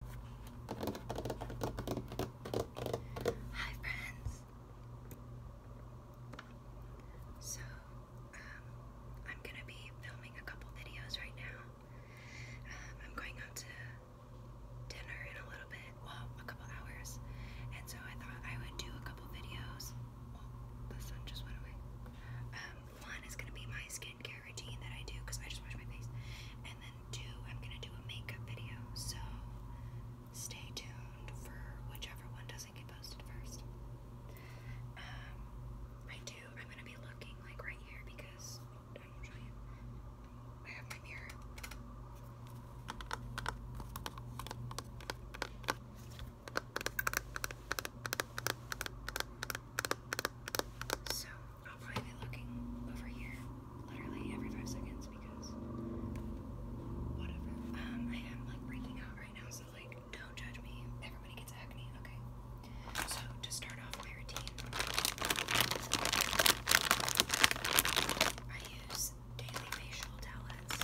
Hi friends. So, um, I'm gonna be filming a couple videos right now. Um, I'm going out to dinner in a little bit, well, a couple hours, and so I thought I would do a couple videos. the sun just went away. Um, one is gonna be my skin routine that I do because I just wash my face. And then two, I'm gonna do a makeup video. So stay tuned for whichever one doesn't get posted first. Um, I do. I'm gonna be looking like right here because I will show you. I have my mirror. So I'll probably be looking over here literally every five seconds because whatever. Um, I am like breaking out right now, so like don't judge me. Everybody gets acne, okay? So to start off my routine, I use daily facial towelettes.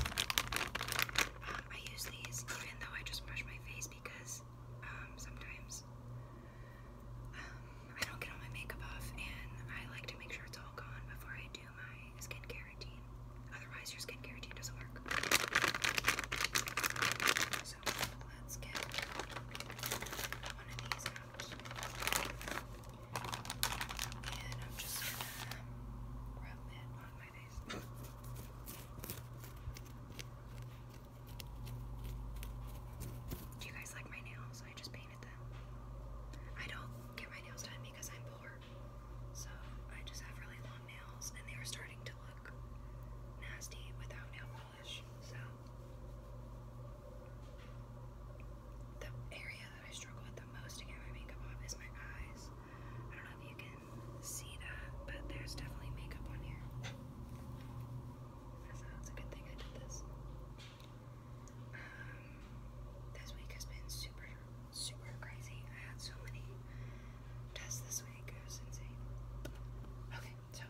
Um, I use these even though I just brush my face because um, sometimes. Um, I don't get all my makeup off, and I like to make sure it's all gone before I do my skincare routine. Otherwise, your skincare routine doesn't work. let's get one of these out. And I'm just gonna rub it on my face. Do you guys like my nails? I just painted them. I don't get my nails done because I'm poor. So I just have really long nails and they are starting to look nasty without nail polish. So the area that I struggle with the most to get my makeup off is my eyes. I don't know if you can see that, but there's definitely makeup on here. That's, a good thing I did this. Um, this week has been super, super crazy. I had so many tests this week. It was insane. Okay, so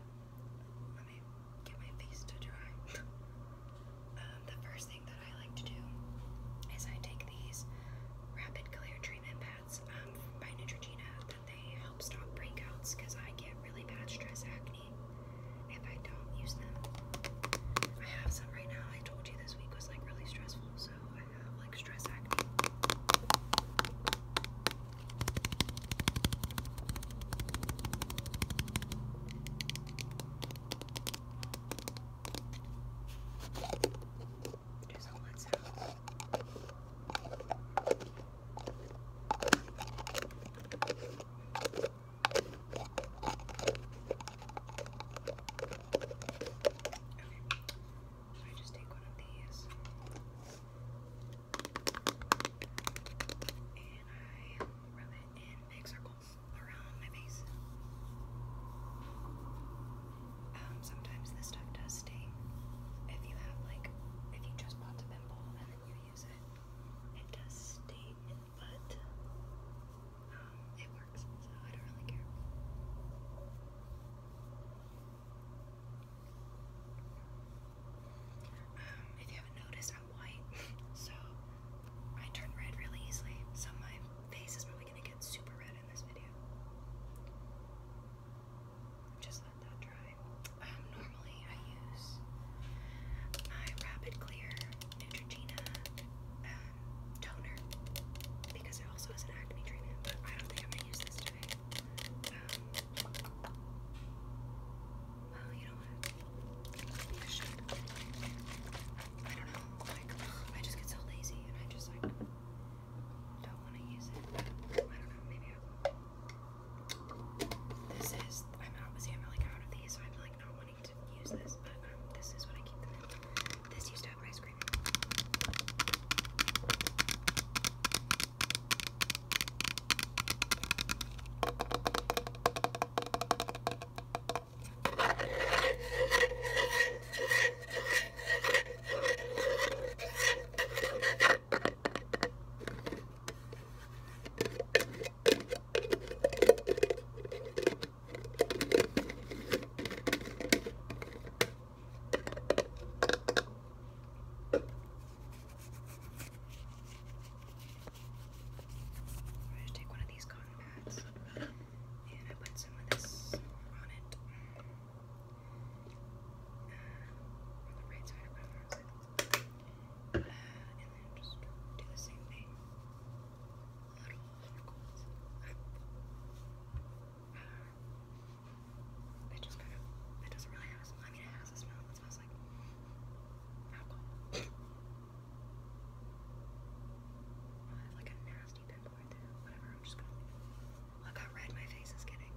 let me get my face to dry. Um, the first thing that I like to do is I take these rapid clear treatment pads. Um, by Neutrogena that they help stop breakouts because I get really bad stress acne if I don't use them. I have some right now. I told you this week was like really stressful, so I have like stress acne. It is all I just take one of these? And I rub it in big circles around my face. Um, sometimes this stuff does sting. If you have like, if you just popped a pimple and then you use it, it does stay. but um, it works, so I don't really care. Um, if you haven't noticed, I'm white, so I turn red really easily. So my face is probably gonna get super red in this video. Just let that dry. Um, normally I use my Rapid Clear Neutrogena um, toner because it also is an acne treatment, but I don't think I'm gonna use this today. Um, well, you know what? I don't know. I just get so lazy and I just like don't want to use it. I don't know, maybe This is, I'm obviously I'm like out of these, so I'm like not wanting to use this, but um, this is what I keep them in. This used to have ice cream. I'm going to take one of these cotton pads and I put some of this on it on the right side and then just do the same thing. Little circles. Uh, it just kind of, it doesn't really have a smell. I mean, it has a smell. It smells like alcohol. uh, like a nasty I'm Whatever, I'm just gonna Look how red my face is getting.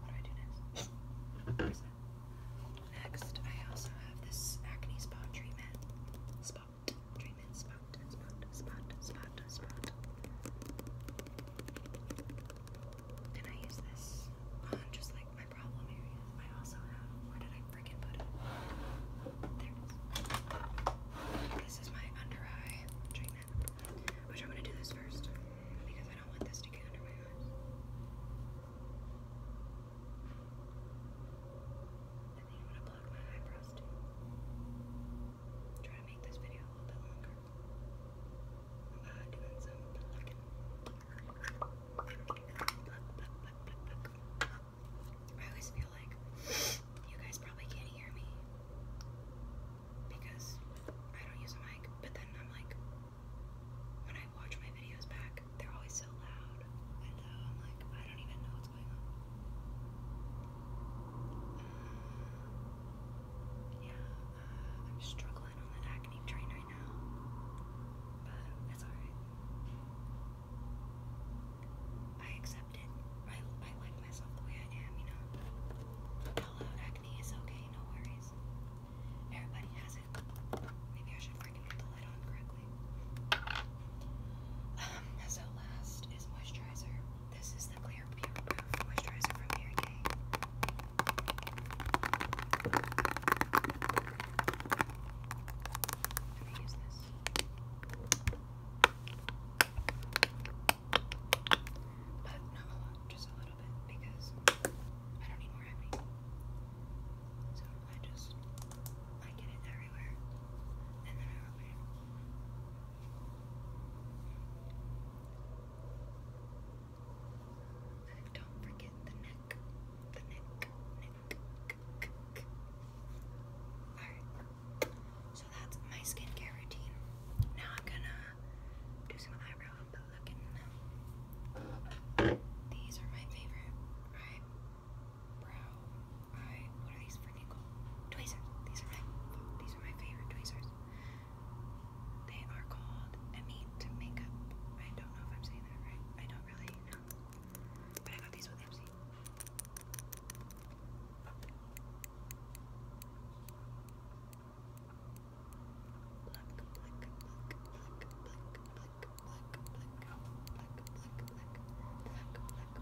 what do I do next? Next, I also have this acne spot treatment. Spot treatment, spot, spot, spot, spot, spot. Can I use this on just like my problem area? I also have. Where did I freaking put it? There This is my under eye Which I'm gonna do this first because I don't want this to get under my eyes. I think I'm gonna plug my eyebrows too. Try to make this video a little bit longer. I always feel like you guys probably can't hear me because I don't use a mic, but then I'm like, when I watch my videos back, they're always so loud, and so uh, I'm like, I don't even know what's going on. Uh, yeah, I'm struggling on that acne train right now, but it's alright. I accept it. I, I like myself the way I am, you know. Hello, acne is okay, no worries. Everybody has it. Maybe I should freaking get the light on correctly. Um, so last is moisturizer. This is the Clear Pure Moisturizer from Mary Kay. I'm gonna use this. But not a lot, just a little bit because I don't need more acne. So I just I get it everywhere and then I rub it don't forget the neck. The neck. Alright. So that's my skincare routine. Now I'm gonna do some eyebrow looking. These are my favorite. Right? Brow. Eye. What are these freaking called? These are my these are my favorite tweezers. They are called Amite Makeup. I don't know if I'm saying that right. I don't really know. But I got these with Ipsy. Pluck, pluck, pluck, pluck, pluck, pluck, pluck, pluck, pluck, pluck, pluck, pluck, pluck, pluck, pluck,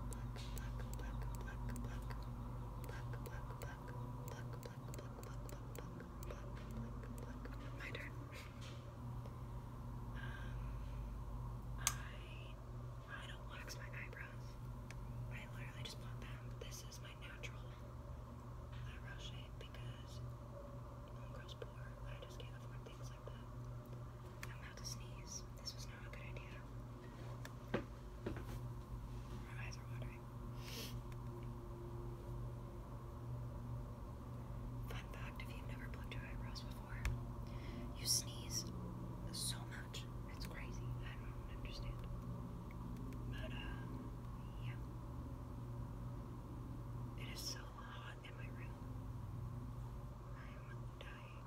pluck, pluck, pluck, pluck, pluck, pluck, pluck, pluck, pluck, pluck, pluck, pluck, pluck, pluck, pluck. My turn. um, I I don't wax my eyebrows. I literally just pluck them. This is my natural eyebrow shape because homegirl's poor. I just can't afford things like that. I'm about to sneeze. This was not a good idea. Fun fact if you've never plucked your eyebrows before, you sneeze so much. It's crazy. I don't understand. But, um, yeah. It is so hot in my room. I'm dying.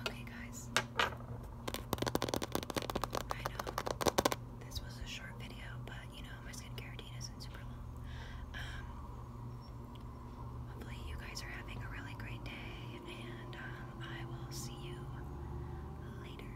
Okay, guys. I know this was a short video, but you know my skincare routine isn't super long. Um, hopefully you guys are having a really great day, and um, I will see you later.